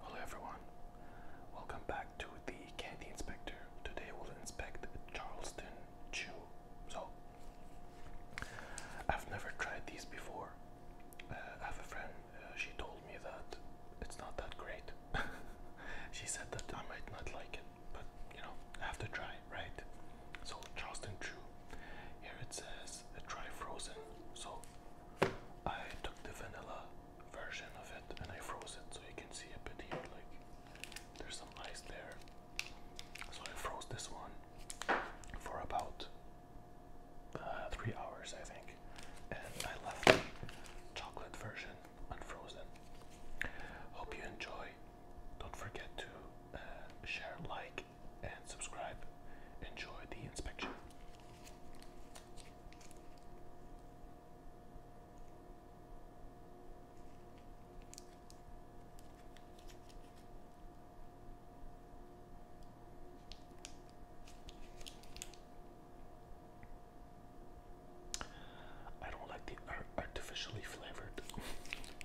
Hello everyone, welcome back to the Candy Inspector. Today we'll inspect Charleston Chew. So, I've never tried these before. Uh, I have a friend, uh, she told me that it's not that great. she said that I might not like it, but you know, I have to try, right? So Charleston Chew. Here it says a dry frozen. So I took the vanilla version of it and I froze it so you can see a bit here like there's some ice there. So I froze this one for about uh, three hours I think and I left the chocolate version unfrozen. Hope you enjoy. Don't forget to uh, share, like, and subscribe. Enjoy the inspection. I don't like the artificially flavored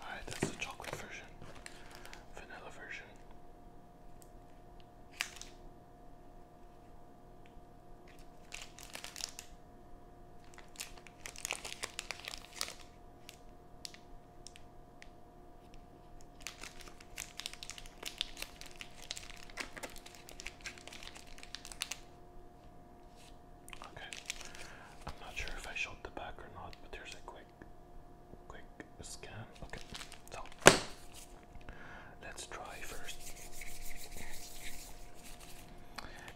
Alright, that's the chocolate version, vanilla version. Okay, I'm not sure if I showed the back or not, but there's a quick quick scan. Okay, so let's try first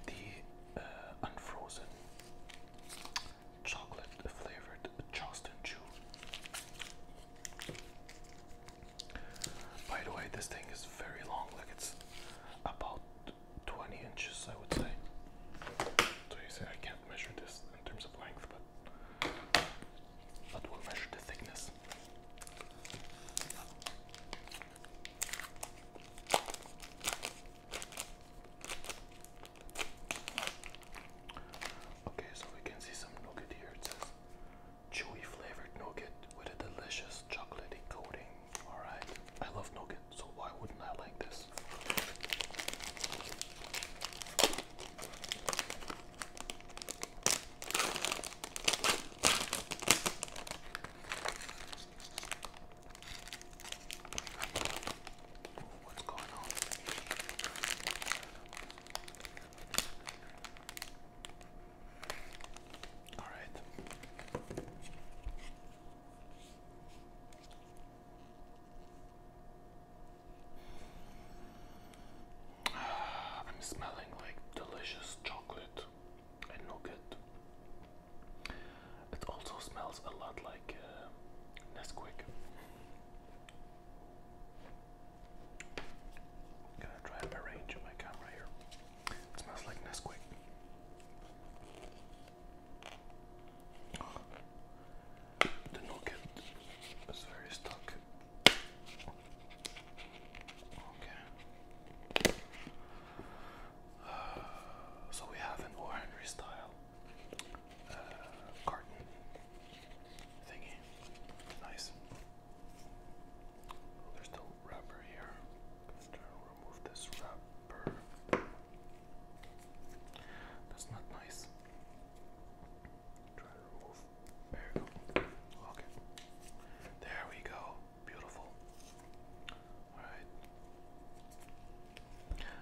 the uh, unfrozen chocolate flavored Charleston Chew. By the way, this thing is very long, like it's about 20 inches, I would say. So you say I can't measure this in terms of length, but, but we'll measure the thickness. Okay, so we can see some nougat here. It says chewy flavored nougat with a delicious chocolatey coating. Alright, I love nougat so why wouldn't I like this? what's going on? All right. I'm smelling like delicious chocolate and nougat. It also smells a lot like uh, Nesquik. i to try and arrange my camera here. It smells like Nesquik. The nugget is very stuck. Okay. so we have an O. style uh, carton thingy. Nice. There's still wrapper here. i to remove this wrapper. That's not nice. Try to remove. There you go. Lock There we go. Beautiful. Alright.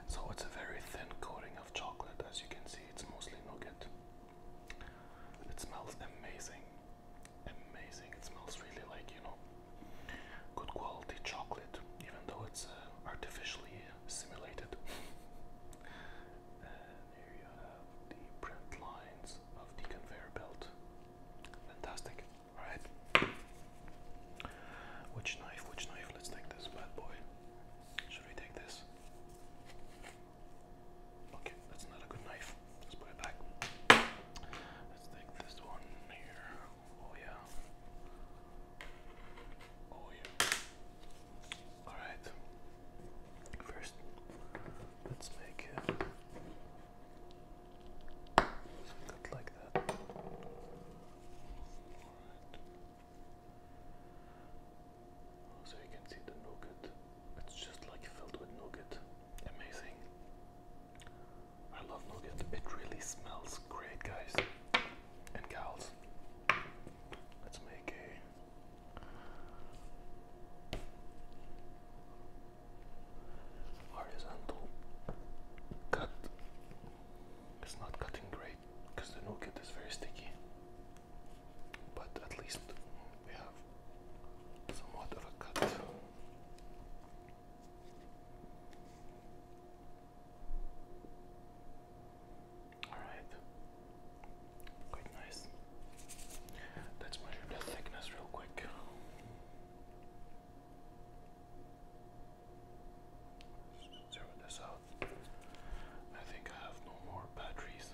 So it's a very thin coating of chocolate. As you can see, it's mostly nougat. It smells amazing. Amazing. It smells really like, you know, good quality chocolate, even though it's uh, artificially simulated. and uh, here you have the print lines of the conveyor belt. Fantastic. Alright. Which knife? Which knife? Let's take this bad boy. Should we take this? Okay, that's not a good knife. Let's put it back. Let's take this one here. Oh yeah. Oh yeah. All right. First, let's make it uh, like that. So you can see the nougat. It's just like filled with nougat. Amazing. I love nougat. It really smells great, guys and gals. Let's make a. Horizontal cut. It's not cutting great because the nougat is very sticky, but at least we have somewhat of cut. Alright, quite nice. Let's measure the thickness real quick. Zero this out. I think I have no more batteries.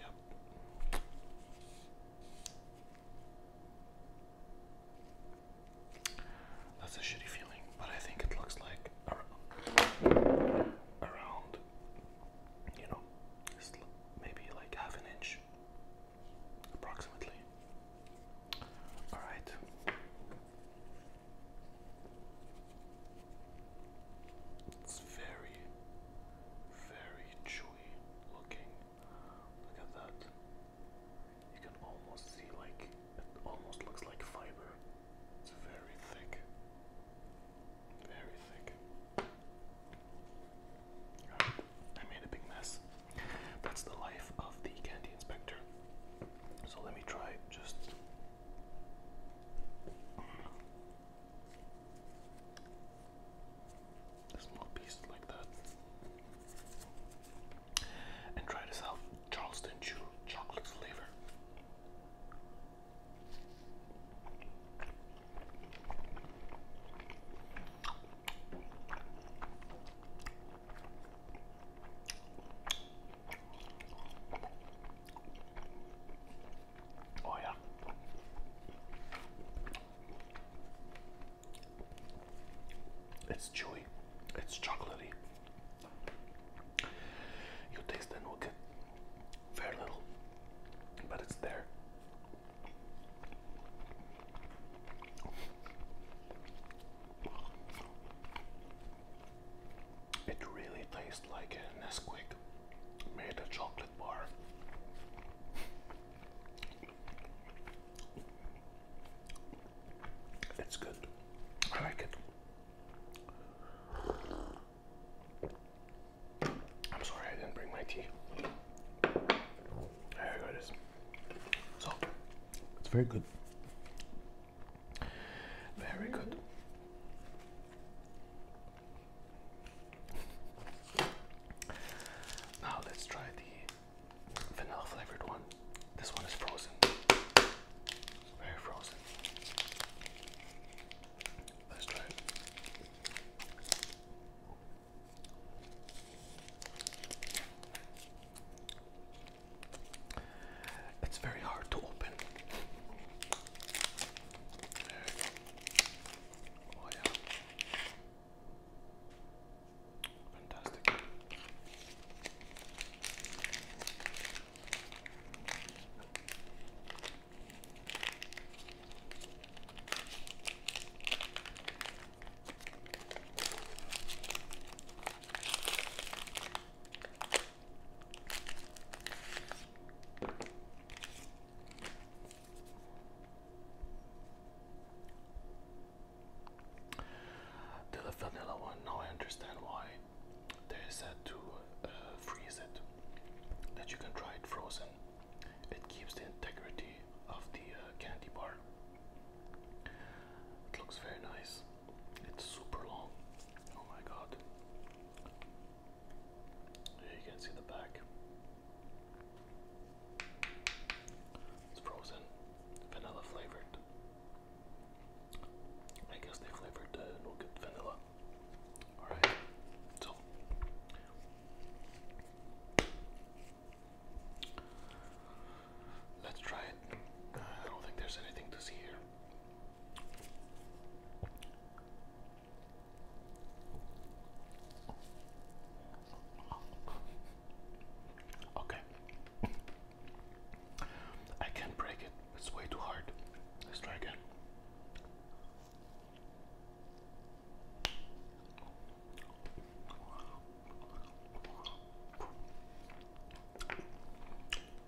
Yep. That's a shitty feeling, but I think it looks like around, you know, maybe like half an inch approximately. All right. It's very, very chewy looking. Look at that. You can almost see, like, it almost looks like fiber. It's very thick. Very thick. I made a big mess. That's the life of the candy inspector. So let me try just this little piece like that. And try this out Charleston Chew chocolate flavor. Oh yeah. It's chewy. It's chocolatey. You taste and will get very little, but it's there. It really tastes like an Nesquik made of chocolate chocolate It's good. I like it. I'm sorry I didn't bring my tea. There it is. So, it's very good. Very good. Now let's try the vanilla flavored one. This one is frozen. It's very frozen. Let's try It's very hard to open. Oh yeah. Fantastic. The vanilla one, now I understand why they said to uh, freeze it, that you can try it frozen. It keeps the integrity of the uh, candy bar. It looks very nice. It's super long. Oh my god. Here you can see the back. It's frozen, vanilla flavored. I guess they flavored the uh, no vanilla. Alright, so let's try it. I don't think there's anything to see here. Okay. I can't break it. It's way too hard. Let's try again.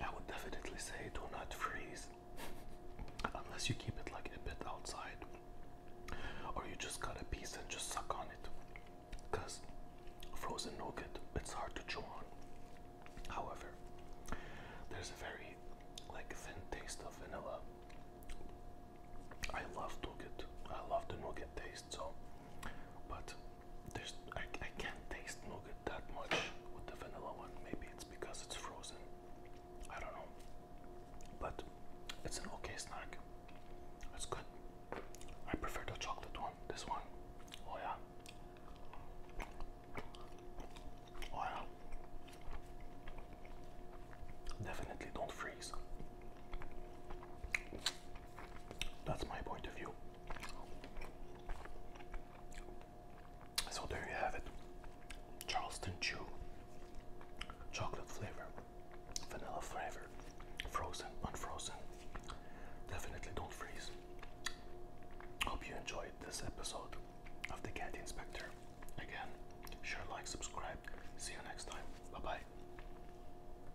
I would definitely say do not freeze unless you keep it like a bit outside or you just cut a piece and just suck on it because frozen nougat it's hard to chew on however there's a very like thin taste of vanilla I love nougat I love the nougat taste so but there's I, I can't taste nougat that much with the vanilla one maybe it's because it's frozen I don't know but it's an okay snack it's good I prefer the chocolate one this one oh yeah oh yeah Definitely don't freeze. That's my point of view. So there you have it. Charleston Chew. Chocolate flavor. Vanilla flavor. Frozen, unfrozen. Definitely don't freeze. Hope you enjoyed this episode of The Candy Inspector. Again, share, like, subscribe. See you next time. Bye bye.